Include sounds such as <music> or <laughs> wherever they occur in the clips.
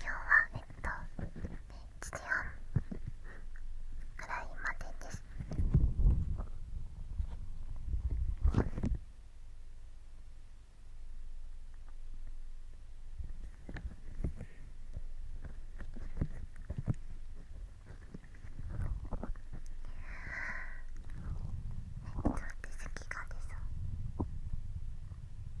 今日はえっと1時半ぐらいまでですえっと私好きがでさ。好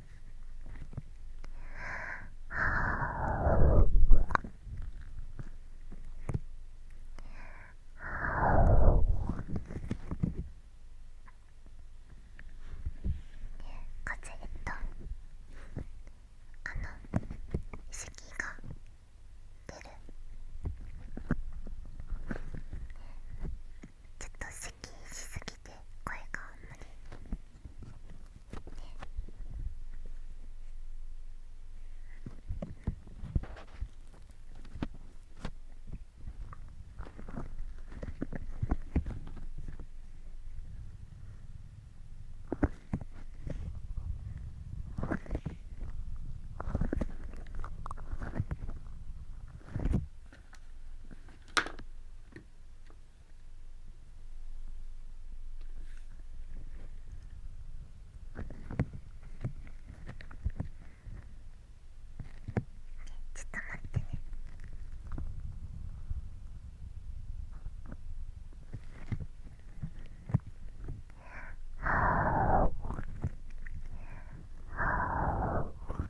はあ。こっちえっとあの意識が出るちょっと咳しすぎて声があんまりねちょっと待ってね。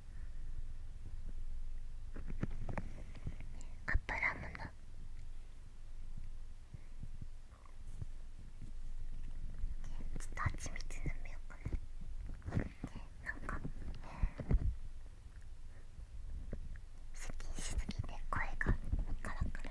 え、アップラムのちょっと蜂蜜飲みようかななんか接近しすぎて声がカラカラあ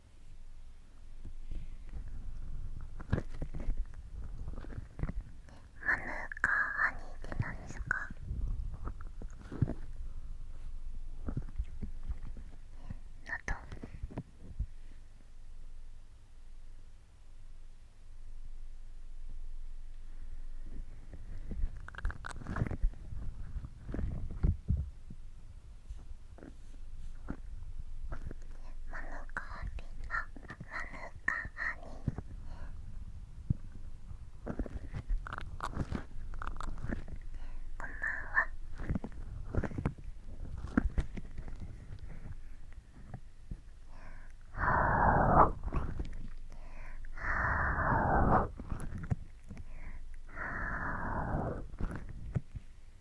ハムかカニーってんですか納豆マヌカハニあマヌカハニこんばんはあ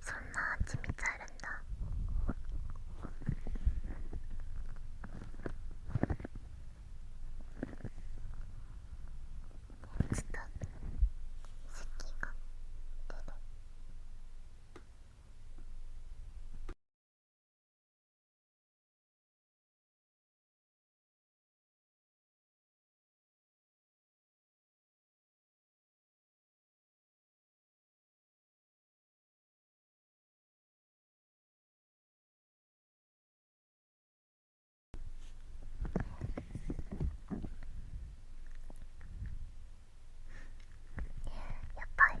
そんな蜂蜜あるんだちょっと咳が出る。やっぱり。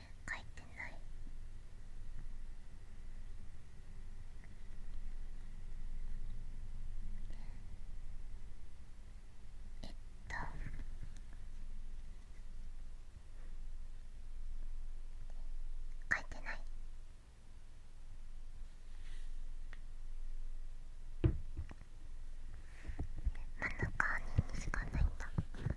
書いてないえっと書いてない真ん中にしかないんだ。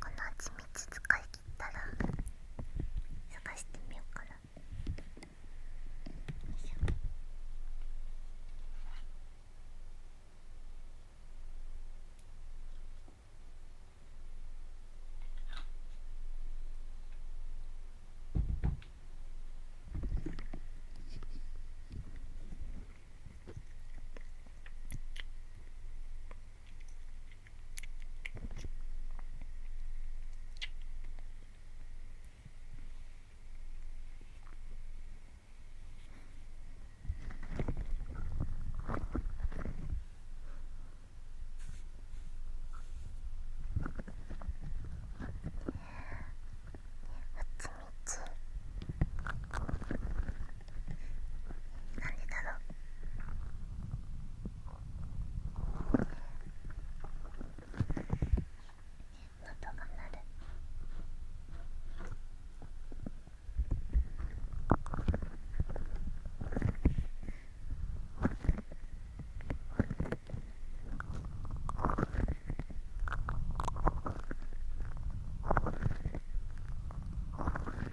この蜂蜜使い切ったら探してみようかなよいしょつみつ。なんでだろう喉が鳴る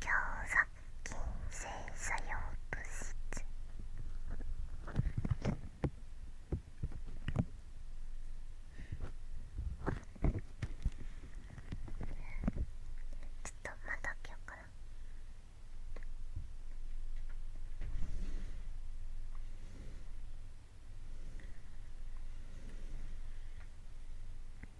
強弱筋性作用物質ちょっとまた開けようかなえっ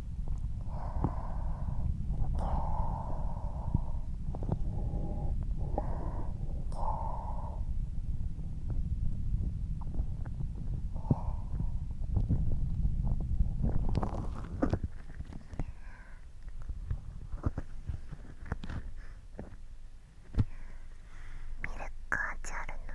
ミルク味あるの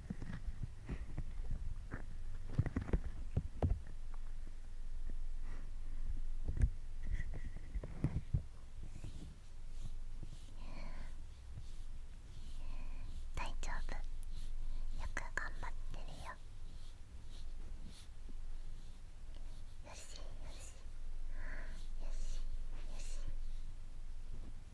大丈夫よく頑張ってるよよしよしよしよし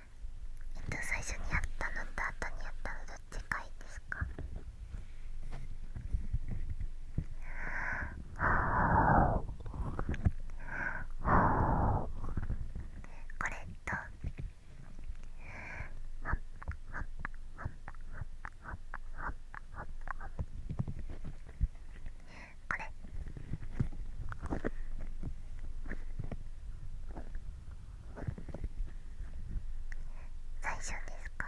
えっと最初にやったのと後にやったのどっちがいいですかこれとこれ。最初ですか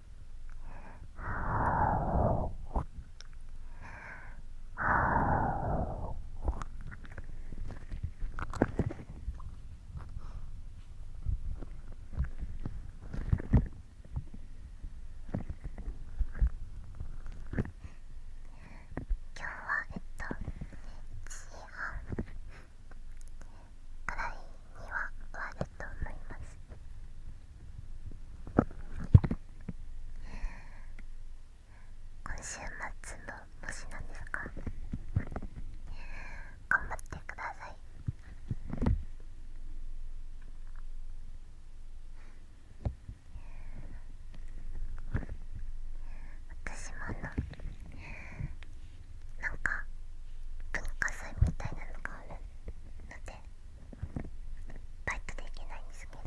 はあ。今日はえっと1時半くらいには終わると思います。今週末の模なんですか頑張ってください私もあのなんか文化祭みたいなのがあるのでバイクできないんですけど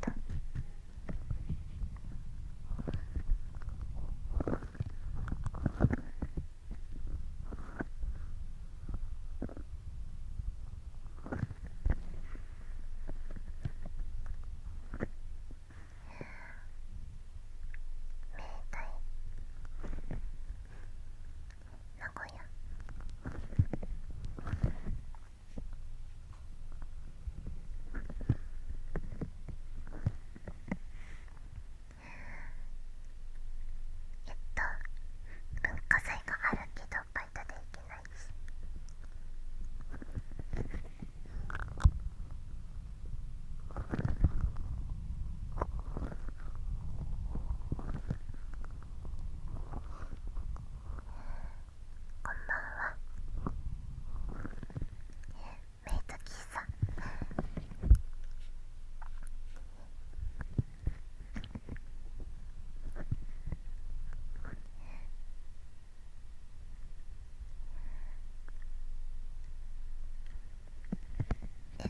明太名古屋えっと文化祭があるけどバイトで行けないし。えっこんばんはメイトキさんえ <laughs>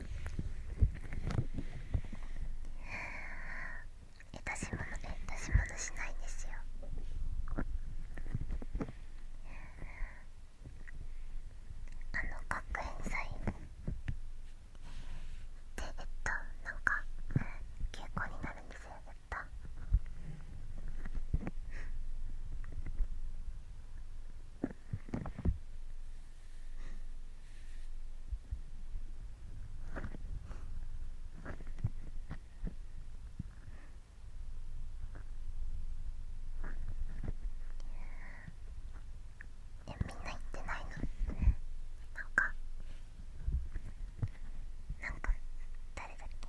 え、出し物え出し物しないんですよあの学園祭でえっとなんか休校になるんですよえっとえみんな行ってないのなんかなんか誰だっけ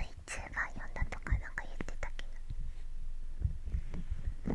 VTuber 呼んだとかなんか言ってたけど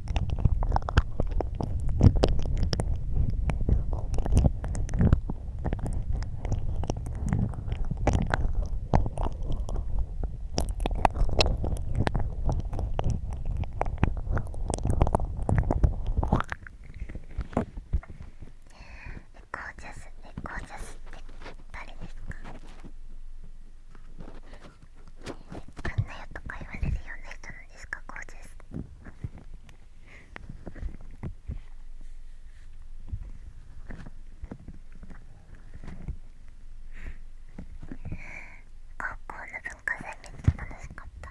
ゴージャスって誰ですかあんなよとか言われるような人なんですかこうです高校の文化祭めっちゃ楽しかった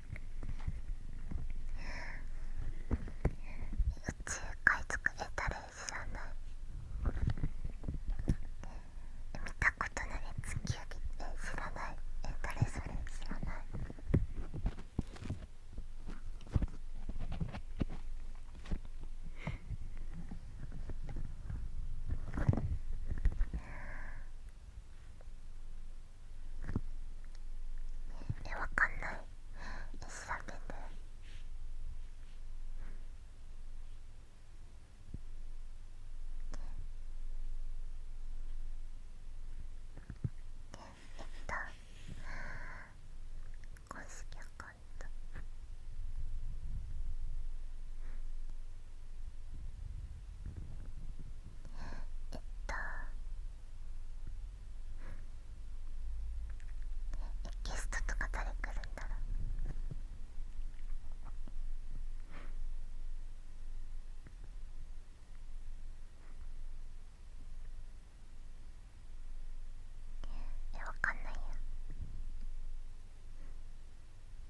宇宙海作れたらいいじゃない見たことない地球で知らないえ誰それ知らない宇え、わかんない。え、調べて。えった。公式アカウント。えっえっとゲストとか誰来るんだろうえ、わかんないよ。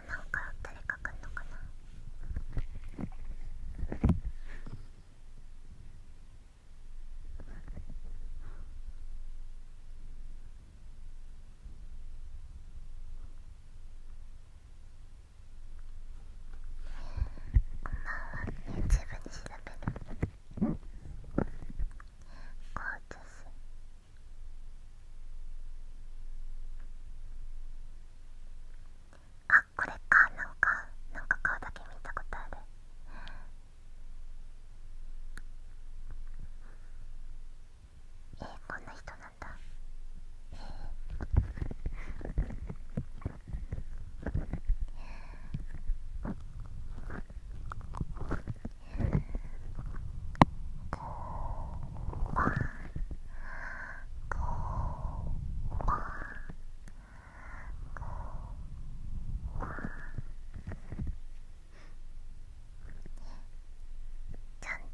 はなんか誰か来んのかなこんばんは y o u 調べるこうですあこれかなんかなんか顔だけ見たことあるえー、こんな人なんだえー、こかちゃんちゃんちゃん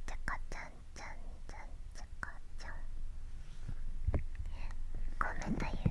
ちゃかちゃんごめんだゆ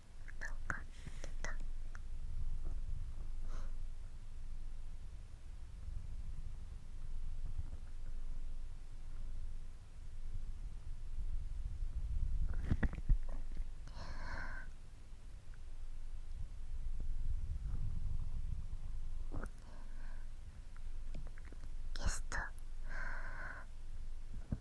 分かった。ゲスト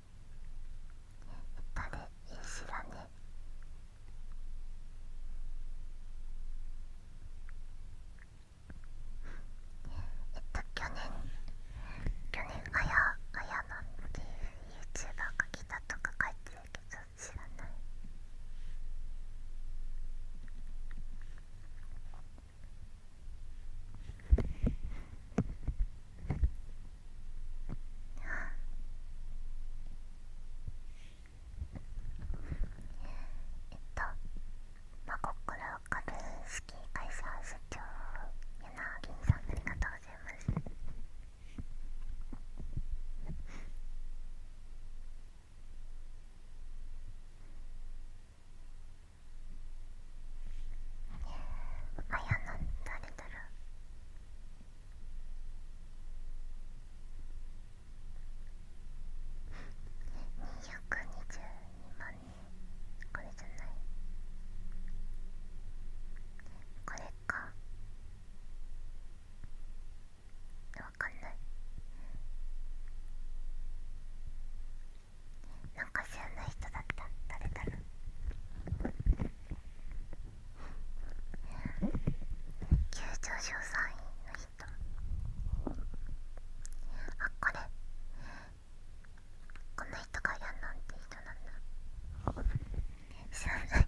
ったりいい知らねえっと去年去年あやあやなんていう YouTuber が来たとか書いてるけど知らないえっとまこっから株式会社社長柳銀さんありがとうございますねあやなん誰だろう二百二十二万人これじゃないこれかわかんないなんか知らない人だった誰だろう急上昇3位の人あこれこの人がやんなんて人なんだ知らない知らない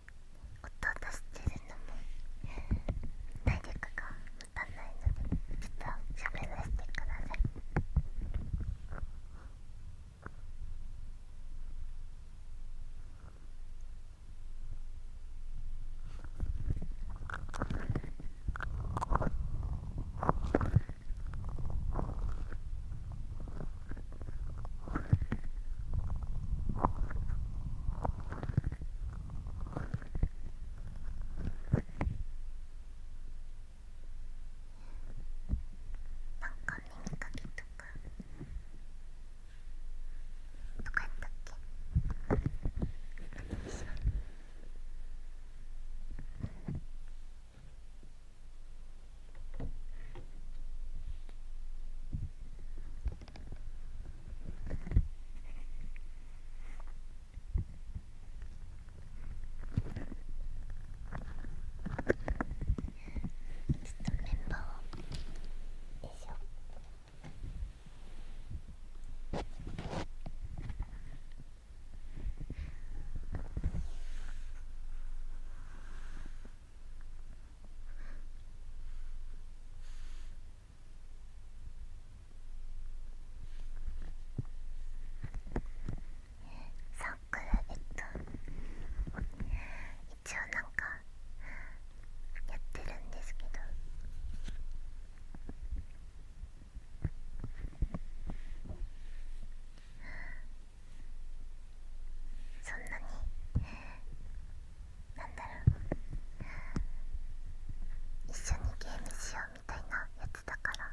音を出してるのも体力が持たないのでちょっと喋らせてくださいか耳かきとかとかやったっけメンバーをよしょサークラゲット。一応なんかやってるんですけどそんなになんだろう一緒にゲームしようみたいなやつだから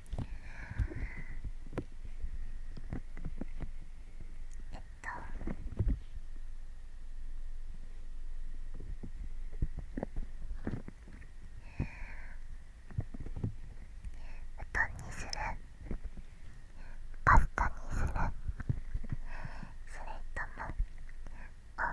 えっとうどにするパスタにするそれともおそば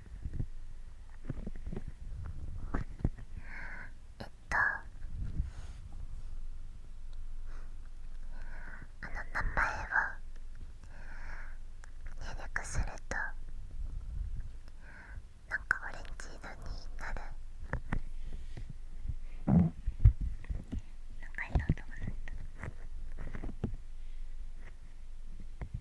えっとあの名前を入力するとなんかオレンジ色になるなんか色とかすると。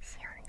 しようんで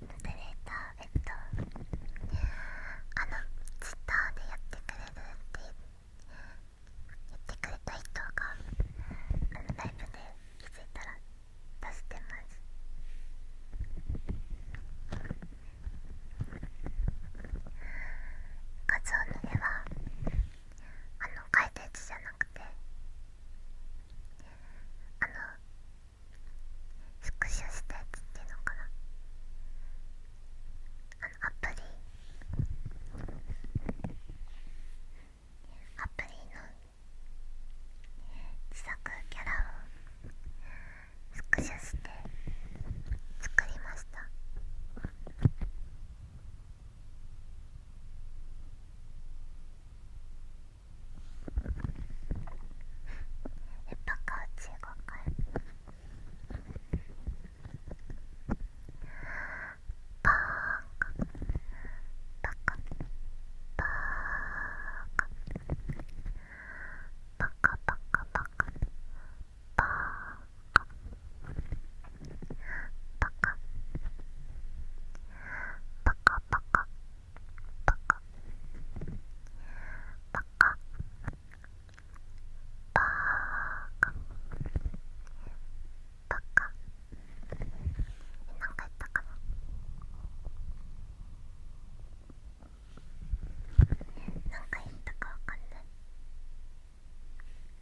モプレーターえっとあのツイッターでやってくれるって言ってくれた人があのライブで気づいたら出してます画像の絵はあの回転地じゃなくくあのスクショしたやつっていうのかなあのアプリアプリの自作キャラをスクショして作りました。えっとかうち5回バカバカバカバカバカバカバカバカパカパカパカパカパカパカパカえなんか言ったかななんか言ったかわかんない。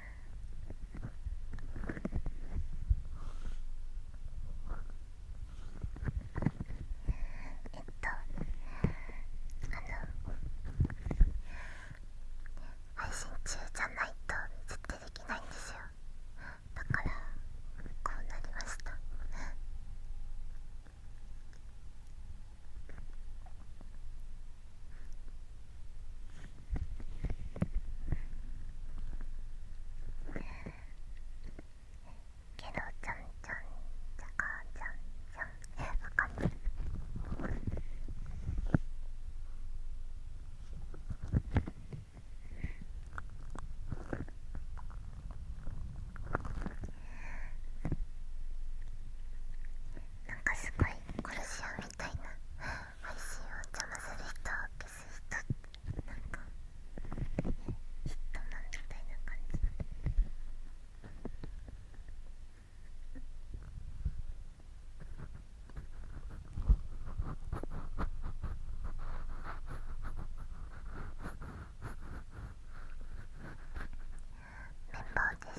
えっとあの配信中じゃないと絶対できないんですよだからこうなりましたえっけどちゃんちゃんちゃかちゃんちゃんえわかんないなんかすごい殺し屋みたいな配信を邪魔する人を消す人なんかヒットマンみたいな感じメンバーです。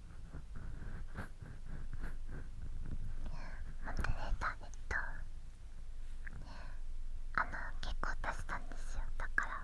モデレータっとあの結構出したんですよだから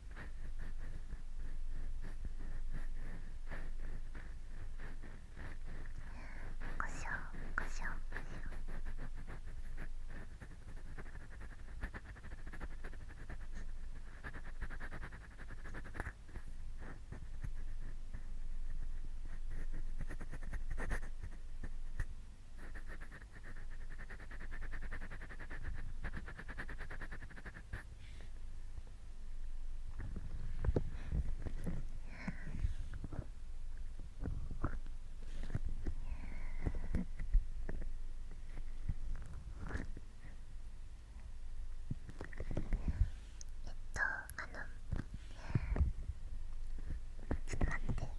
しょこしょこしょこえっとあのちょっと待ってそうでしょ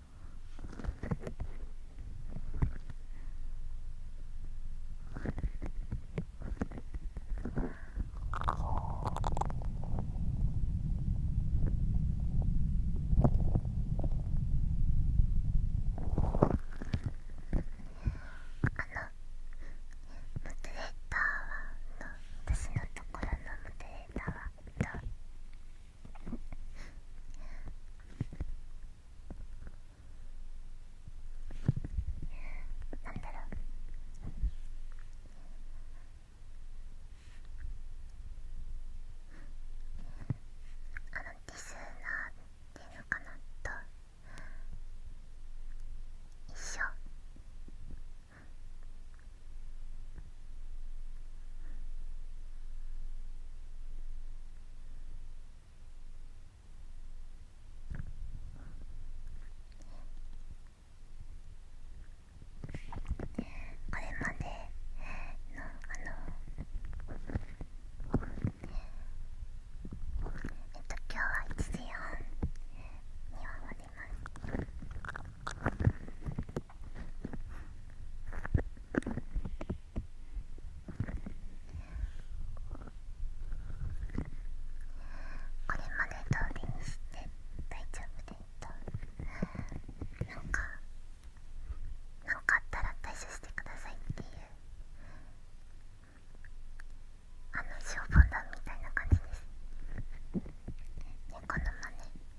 あモデレーターは私のところのモデレーターはえなんだろうあのディスナーっていうのかなと一緒これまでのあのえっと今日は一時半には終わります。これまで通りにして大丈夫でいたなんかなんかあったら対処してくださいっていうあの消防団みたいな感じです猫の真似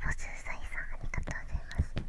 おすうさいさんありがとうございます。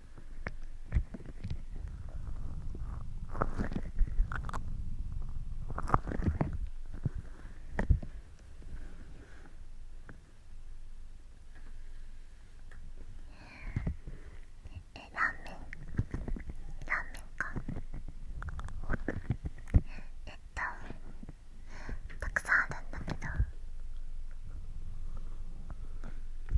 えラーメンラーメンかえっとたくさんあるんだけど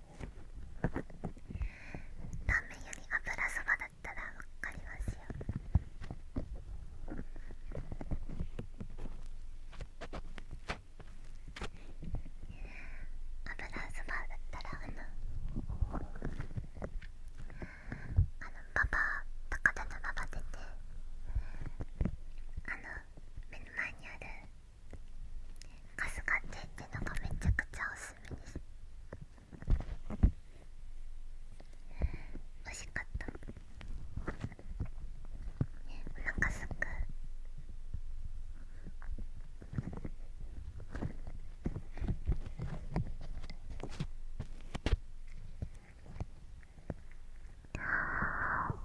ラーメンより油そばだったらわかりますよ油そばだったらあのあのパパパ高田のパパ出てあの目の前にあるカスカテってのがめちゃくちゃおすすめです美味しかったお腹すくああ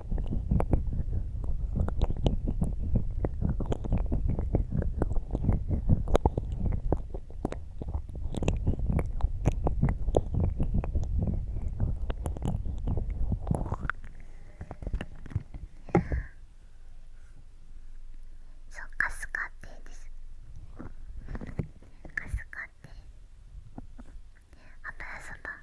そうカスカテですカスカテ油そば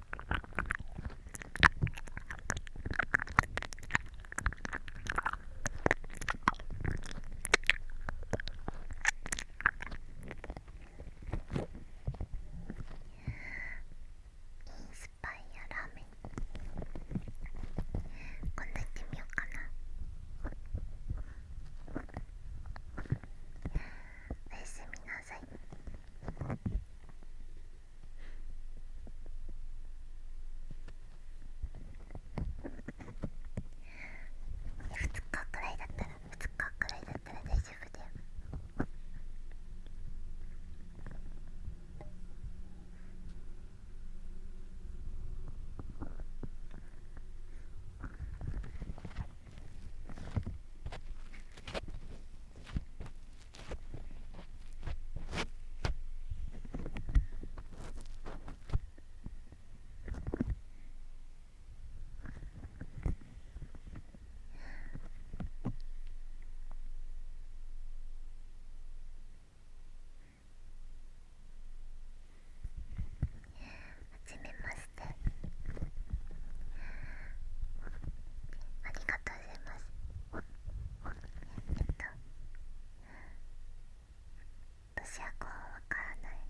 インスパイアラーメンこんなに行ってみようかなおやすみなさい。2日くらいだったら2日くらいだったら大丈夫だよはじめまして。ありがとうございますえっと私はこうわからない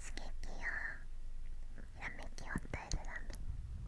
刺激やひやめきを与えるラーメ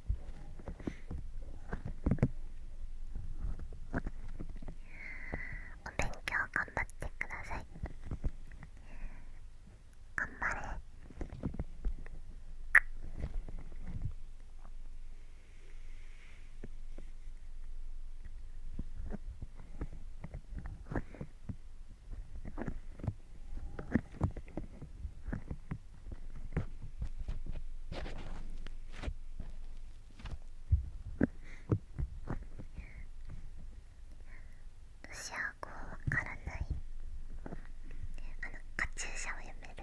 お勉強頑張ってください頑張れ私はーこうわからないあのカチューシャをやめる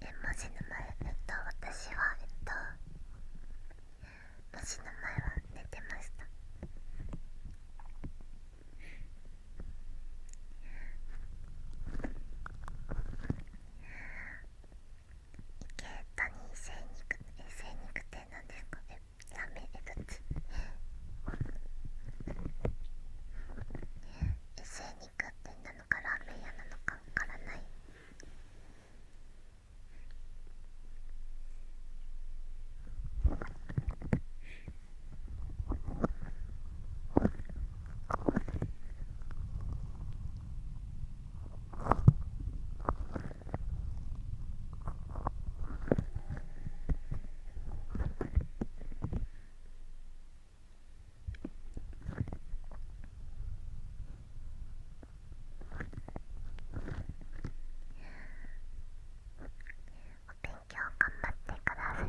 え文字の前えっと私はえっと文字の前は寝てました池谷精肉え精肉って何ですかえラーメンえどっちえって何なののかラーメなのかわからない勉強頑張ってください。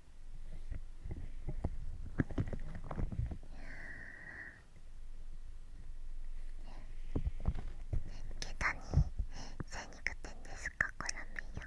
下駄に精肉店ですかコラーメ屋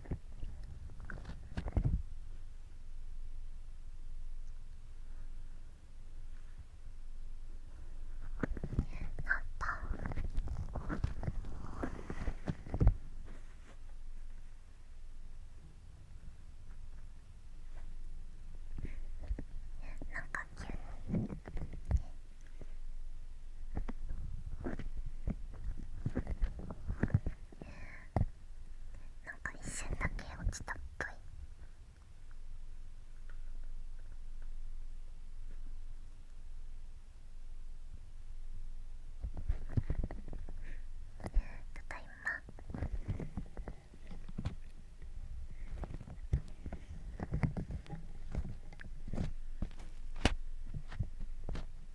なんか急に。なんか一瞬だけ落ちたっぽいただいまえっと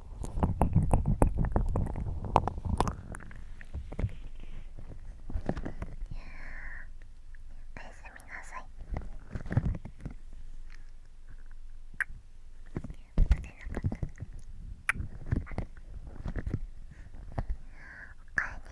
すみなさいおかえり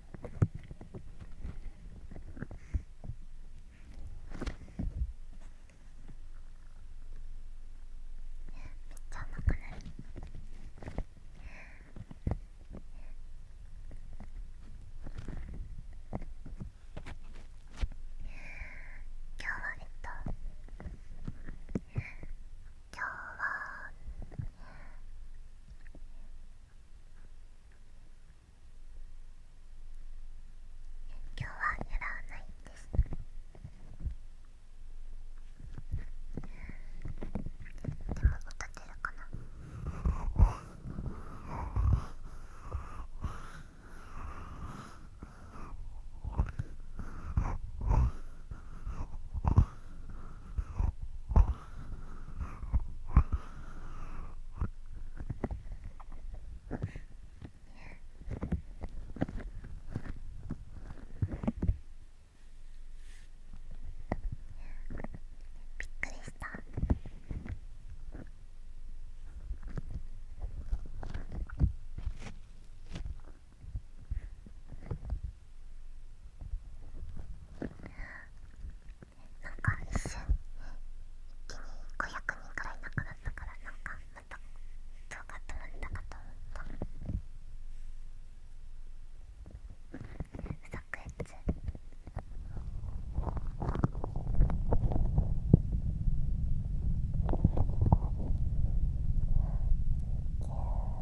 めっちゃ甘くない。今日はえっと今日は今日は狙わないですでも歌ってるかなびっくりしたなんか一瞬一気に500人くらいいなくなったからなんかまたどうか止まったかと思った不作越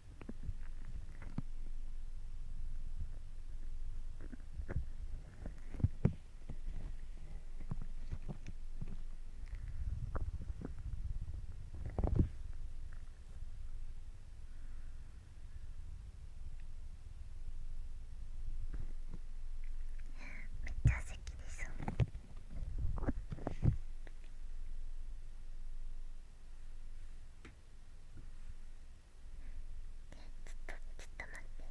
めっちゃ咳です。ちょっとちょっと待ってね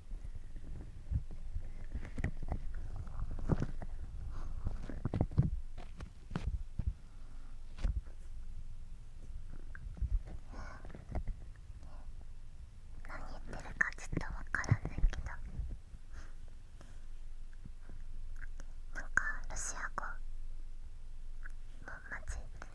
何言ってるかちょっと分からないけどなんかロシア語も混じってる。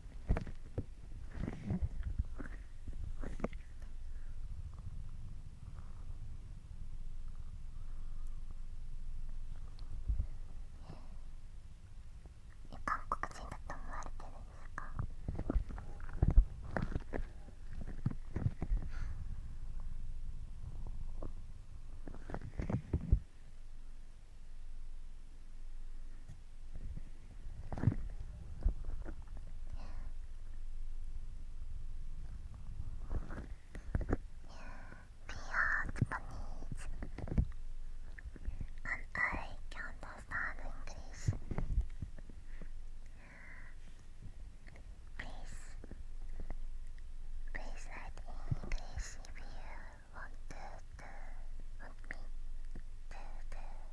え、韓国人だと思われてるんですか And I can't understand English. Please, please write in English if you want to do, want me to do.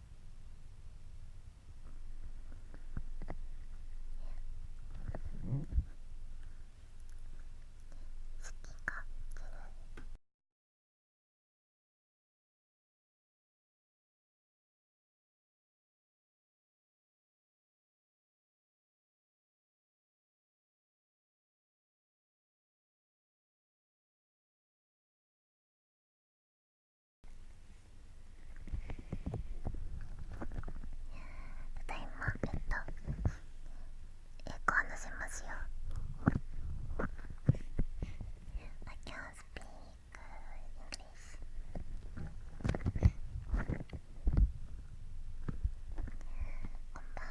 好き勝手に。ただいまえっと英語話せますよ I can't speak English こんばんは。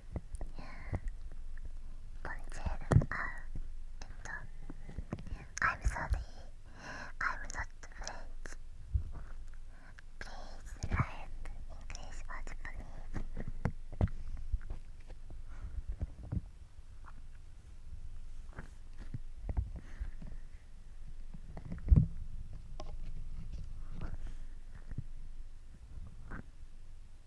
Conchel, uh, I'm sorry, I'm not French. Please write English or Japanese.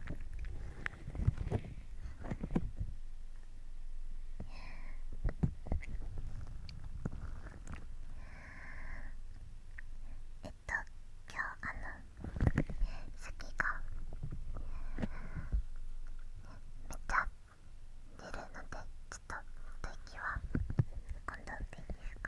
えっと今日あの咳がめっちゃ出るのでちょっと吐息は今度でいいですか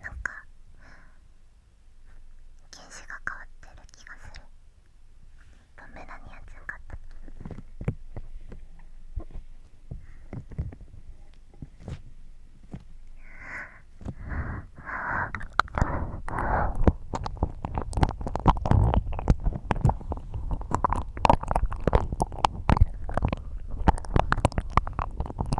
なんか犬種が変わってる気がするポメラニアンちゃん買った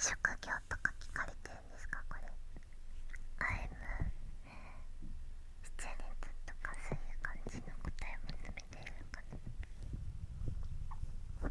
職業とかか聞かれてんですかこれアイム出演率とかそういう感じの答えを求めているのかなうん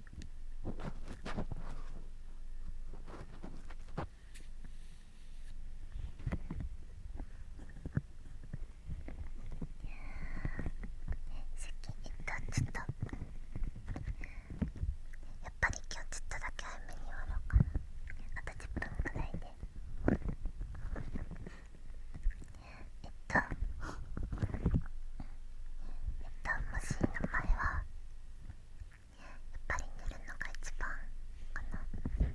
えっと、ちょっとやっぱり今日ちょっとだけ早めに終わろうかなあと10分ぐらいでえっとえっともし名前はやっぱり寝るのが一番かな寝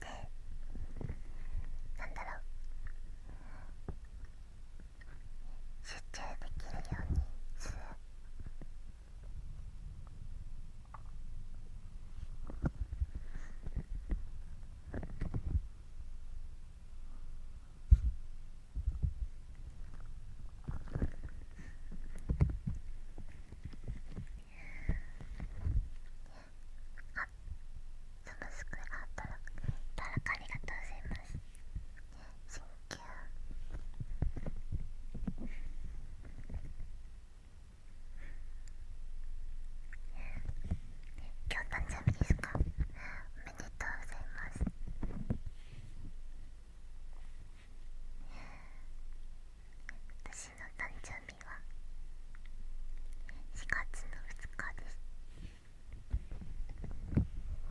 てなんだろう集中できるようにする楽しくあたらたらかありがとうございます新旧今日誕生日ですかおめでとうございます。私の誕生日は4月の2日ですあ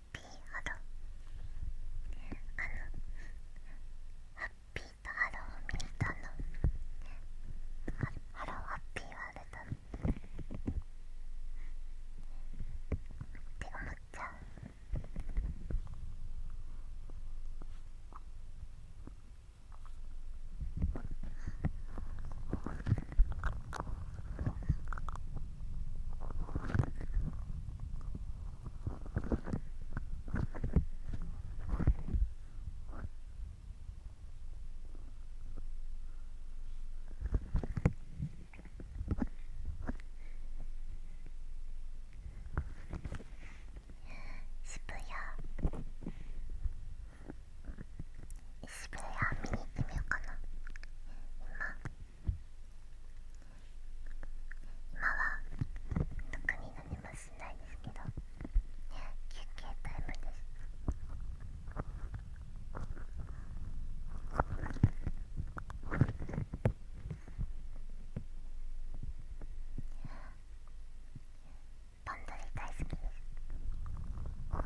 ハローあのハッピーとハローを見に行ったのハローハッピーワールドって思っちゃうハッピー渋谷渋谷見に行ってみようかな今今は特に何もしないですけど、ね、休憩タイムです。バンドリ大好きです。あ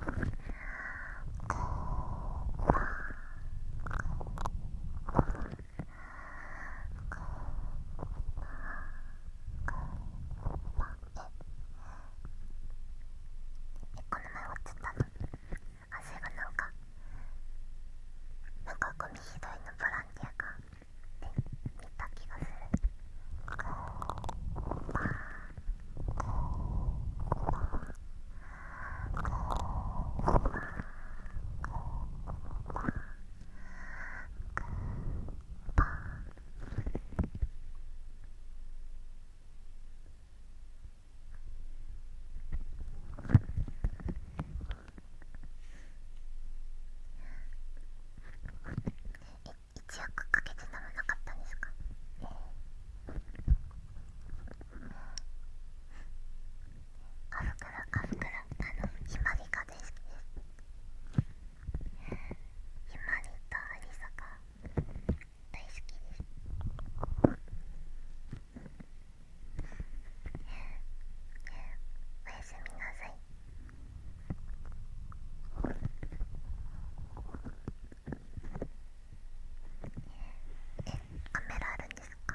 あ。ああ。こーばーこの前終わっちゃったのあそうなんかなんかゴミ拾いのボランティアがねった気がするパーパーパー…一億かけて飲まなかったんですか、カフクラカフクラあのひまりかですヒマリとアリサが大好きですおやすみなさいえカメラあるんですか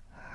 100万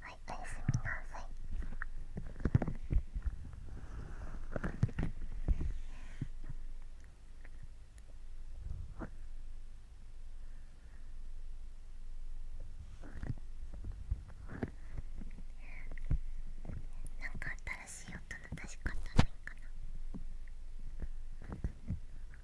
はいおやすみなさいなんか新しい音の出し方ないかな。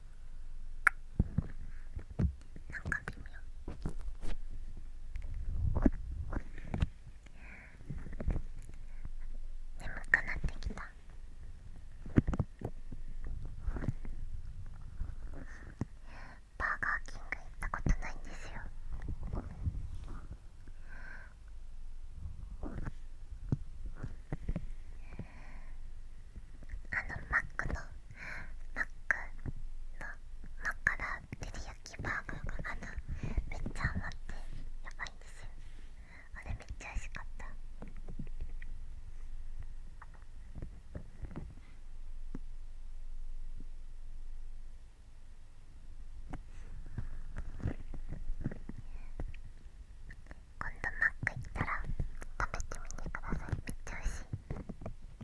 なんか微妙眠くなってきたバーガーキング行ったことないんですよあのマックのマックのマカラ照り焼きバーグがあのめっちゃ甘くてやばいんですよあれめっちゃ美味しかった今度マック行ったら食べてみてくださいめっちゃ美味しい。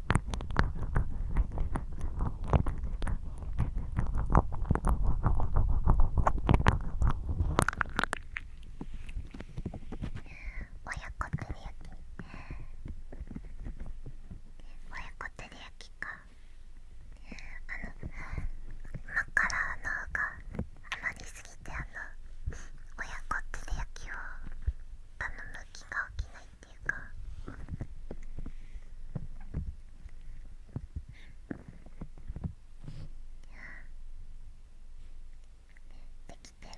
親子照り焼き親子照り焼きかあのマカラのが余りすぎてあの親子照り焼きを歯の向きが起きないっていうかできてる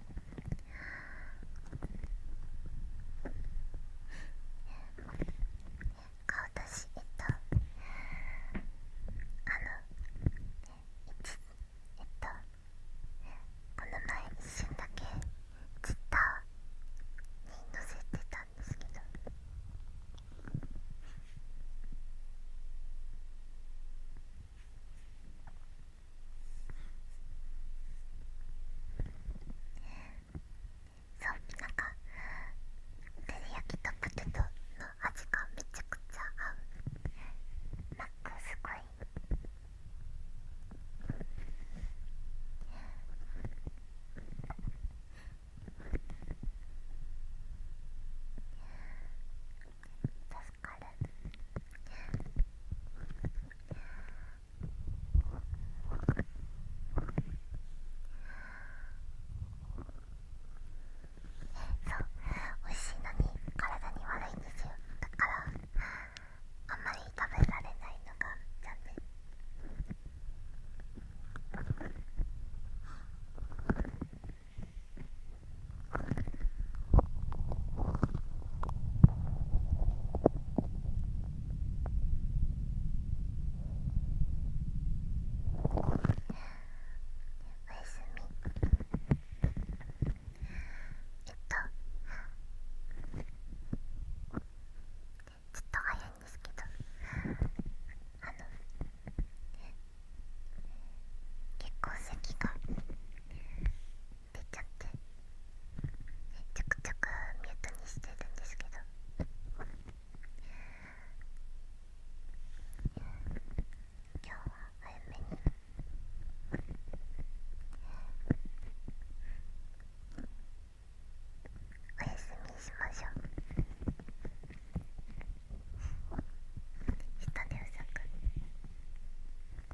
顔出しえっとあのえっとこの前一瞬だけツイッターに載せてたんですけどそうなんか照り焼きとポテトの味がめちゃくちゃ合うなんか、すごい確かるそう美味しいのに体に悪いんですよだからあんまり食べられないのが残念おみ。えっと。ちょっと早いんですけどあのえ。結構咳が出ちゃってめちゃくちゃくミュートにしてるんですけど今日は早めにお休みしましょう下でうさく。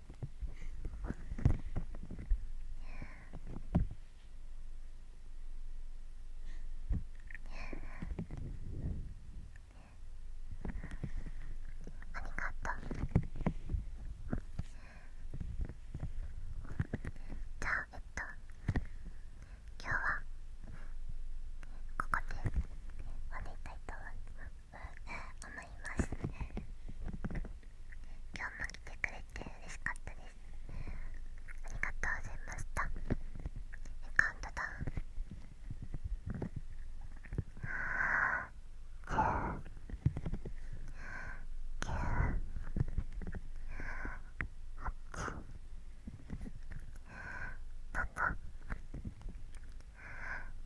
ありがとうじゃあえっと今日はここでお願いたいと思います思います今日も来てくれて嬉しかったですありがとうございましたカウントダウン七、六、五、四、三、二、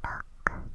あったね。